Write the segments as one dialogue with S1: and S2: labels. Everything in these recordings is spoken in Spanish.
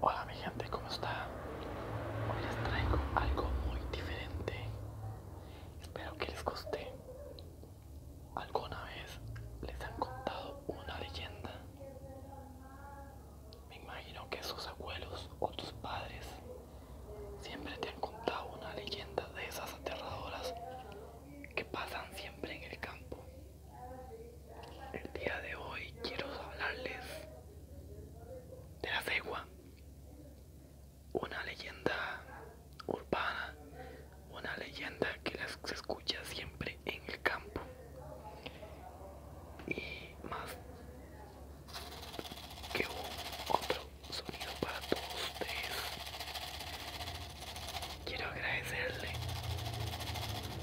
S1: Hola mi gente, ¿cómo está? Hoy les traigo algo muy diferente. Espero que les guste. ¿Alguna vez les han contado una leyenda? Me imagino que sus abuelos o tus padres siempre te han contado una leyenda de esas aterradoras que pasan siempre en el campo. El día de hoy quiero hablarles de la cegua, una leyenda urbana, una leyenda que se escucha siempre en el campo y más que un otro sonido para todos ustedes. Quiero agradecerle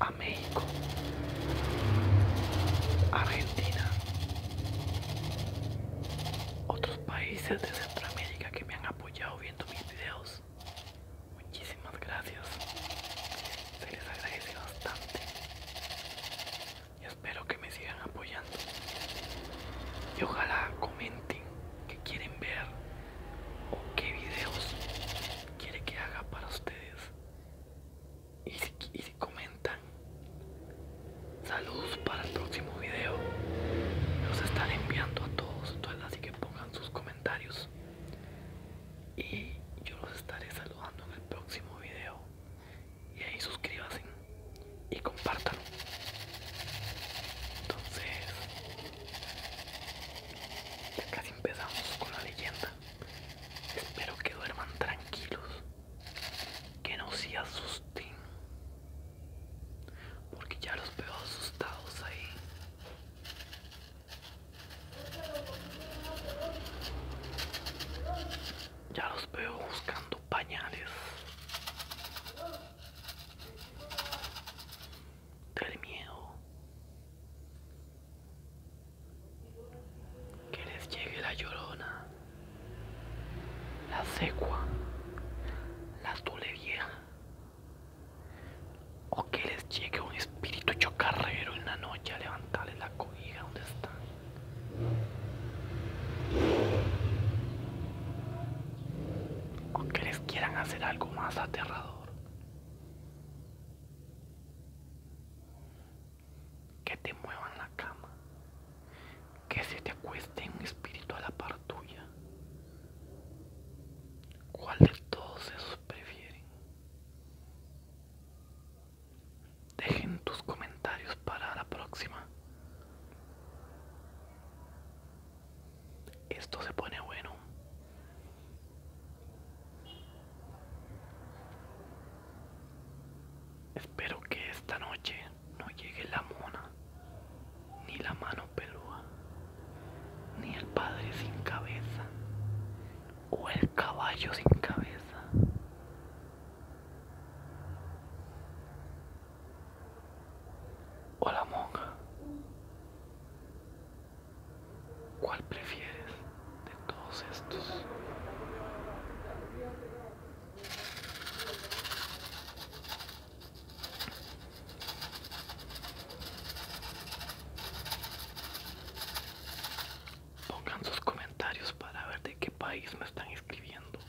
S1: a México, Argentina, otros países de Centroamérica que me han apoyado viendo mis videos. Muchísimas gracias. Se les agradece bastante. Y espero que me sigan apoyando. Y ojalá comenten qué quieren ver o qué videos quiere que haga para ustedes y si, comentan saludos para el próximo vídeo los están enviando a todos todas así que pongan sus comentarios y yo los estaré saludando en el próximo vídeo y ahí suscríbanse y compartan entonces ya casi empezamos con la leyenda Espero que duerman tranquilos, que no se asusten, porque ya los veo asustados ahí. Ya los veo buscando pañales. Del miedo. Que les llegue la llorona, la secua, la azul vieja, o que les llegue un espíritu chocarrero en la noche a levantarles la comida donde están. O que les quieran hacer algo más aterrador que te muevan la cama, que se te acueste un espíritu a la par tuya. ¿Cuál de todos esos prefieren? Dejen tus comentarios para la próxima. Esto se pone bueno. Espero que esta noche no llegue la mona, ni la mano pelúa, ni el padre sin cabeza, o el caballo sin cabeza. O la monja. ¿Cuál prefieres de todos estos? Pongan sus comentarios para ver de qué país me están escribiendo.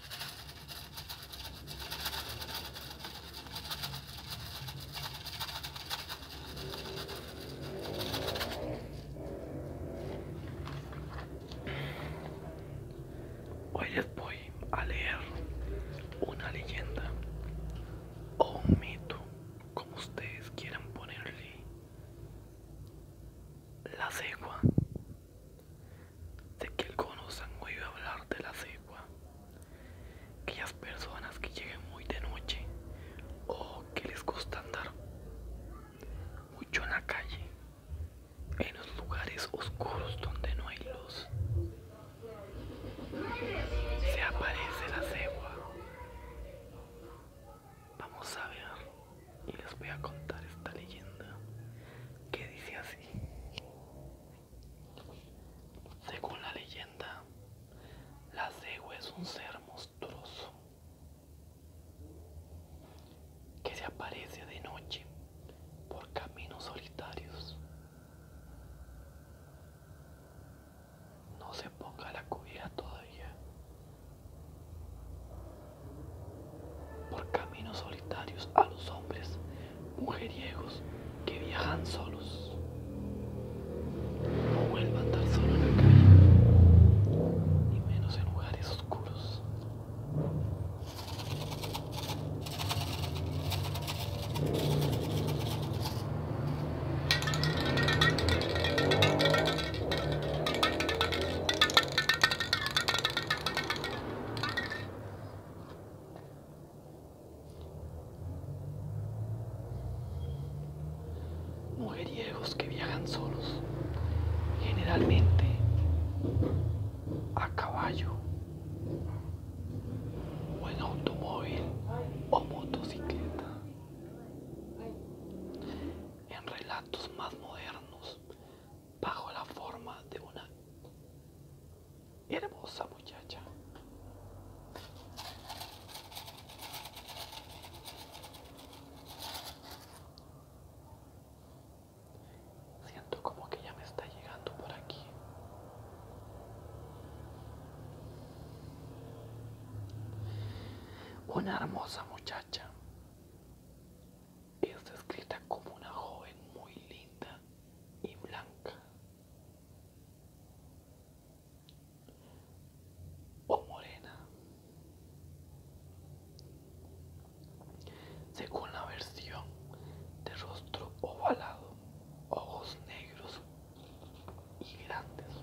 S1: Hoy les voy a leer una leyenda o un mito, como ustedes quieran ponerle. La cegua. de que algunos han oído hablar de la cegua. Aquellas personas que llegan muy de noche o que les gusta andar mucho en la calle, en los lugares oscuros donde no hay luz. Se aparece la cegua. Vamos a ver y les voy a contar esta leyenda que dice así. Según la leyenda, la cegua es un ser monstruoso que se aparece de noche por caminos solitarios. No se ponga la cubierta todavía. Por caminos solitarios a los hombres mujeriegos que viajan solos. No vuelva a andar solo en la calle, y menos en lugares oscuros mujeriegos que viajan solos, generalmente a caballo o en automóvil o motocicleta. En relatos más modernos, bajo la forma de una hermosa muchacha. Siento como que ya me está llegando por aquí. Una hermosa muchacha. Es descrita como una joven muy linda y blanca o morena. Según la versión de rostro ovalado, ojos negros y grandes,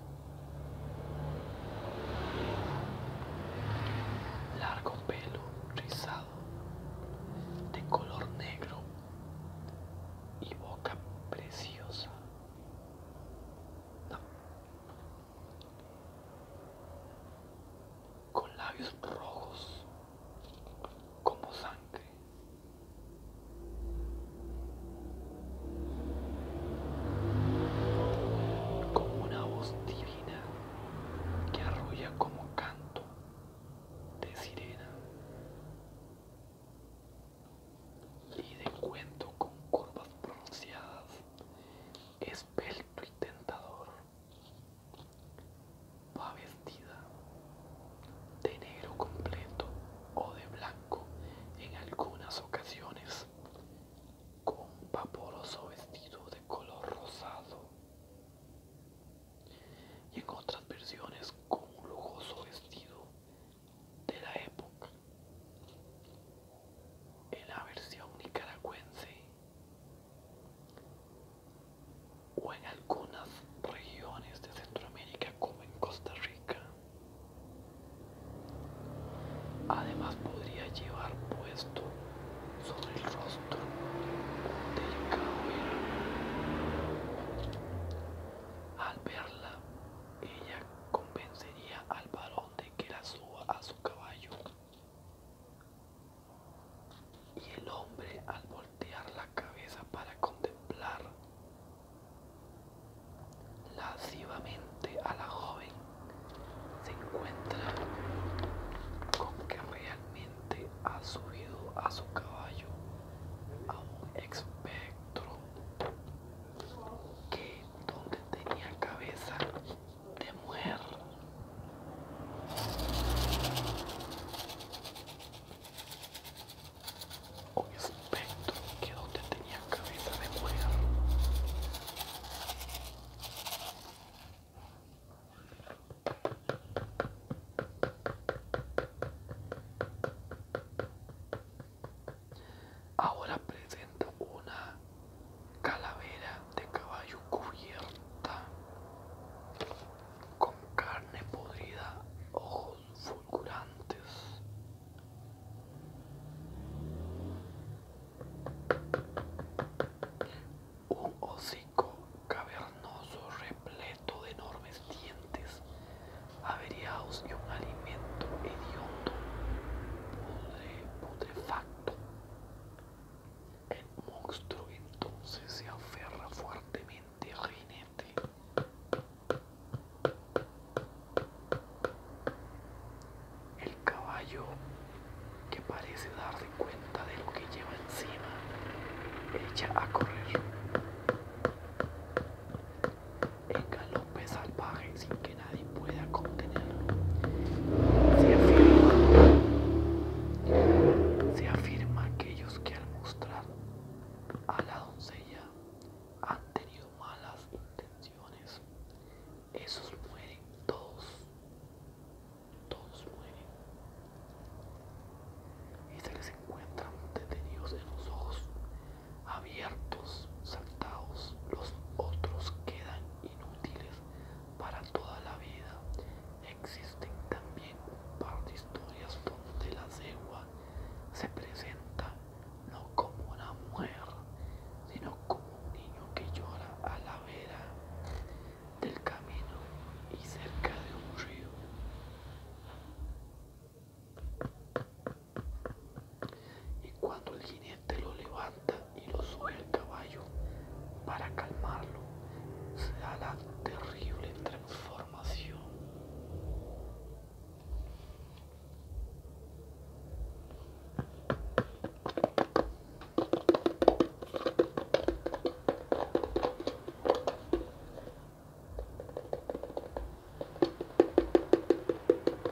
S1: largo pelo rizado de color negro y boca preciosa con labios rojos como sangre. Como una voz divina que arrolla como canto de sirena y de cuento con curvas pronunciadas esbelto y tentador, va vestida de negro completo o de blanco en algunas ocasiones, con un vaporoso vestido de color rosado y en otras versiones con un lujoso vestido de la época en la versión nicaragüense o en algunas regiones de Centroamérica como en Costa Rica. Además podría llevar puesto sobre el rostro del delicado Al verla, ella convencería al varón que la suba a su caballo. Y el hombre al voltear la cabeza para contemplar lascivamente a la joven se encuentra con que realmente ha subido a su caballo a un espectro que donde tenía cabeza de mujer. Un espectro que donde tenía cabeza de mujer. Ahora presenta una calavera de caballo cubierta con carne podrida, ojos fulgurantes. Un hocico cavernoso repleto de enormes dientes averiados y un alimento hediondo, facto, El monstruo entonces se aferra fuertemente al jinete. El caballo, que parece darse cuenta de lo que lleva encima, echa a correr en galope salvaje sin que nadie pueda contenerlo. Se afirma, se afirma aquellos que al mostrar a la doncella han tenido malas intenciones, esos mueren todos, todos mueren y se les encuentran detenidos en los ojos abiertos, saltados, los otros quedan inútiles para toda la vida. Existen también un par de historias donde la cegua se presenta no como una mujer, sino como un niño que llora a la vera del camino y cerca de un río. Y cuando el jinete lo levanta y lo sube al caballo para calmarlo, se da la terrible transformación.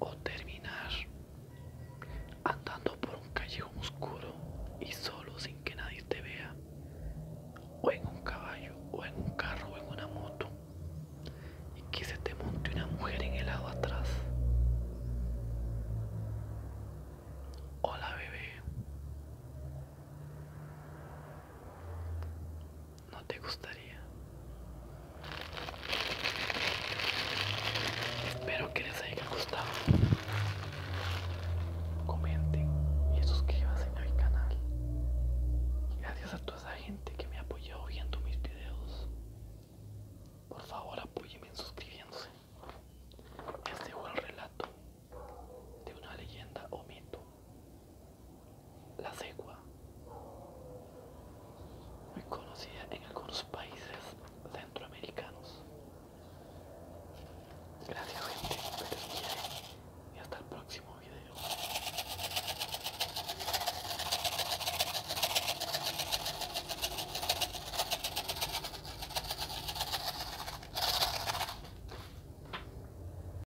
S1: o terminar andando por un callejón oscuro y solo sin que nadie te vea, o en un caballo, o en un carro, o en una moto, y que se te monte una mujer en el lado atrás, hola bebé, no te gustaría. Espero que les haya gustado. Comenten y suscríbanse a mi canal. Gracias a toda esa gente que me ha apoyado viendo mis videos. Por favor en suscribiéndose. Este fue el relato de una leyenda o mito la cegua, muy conocida en algunos países centroamericanos. Gracias gente, y hasta el próximo video.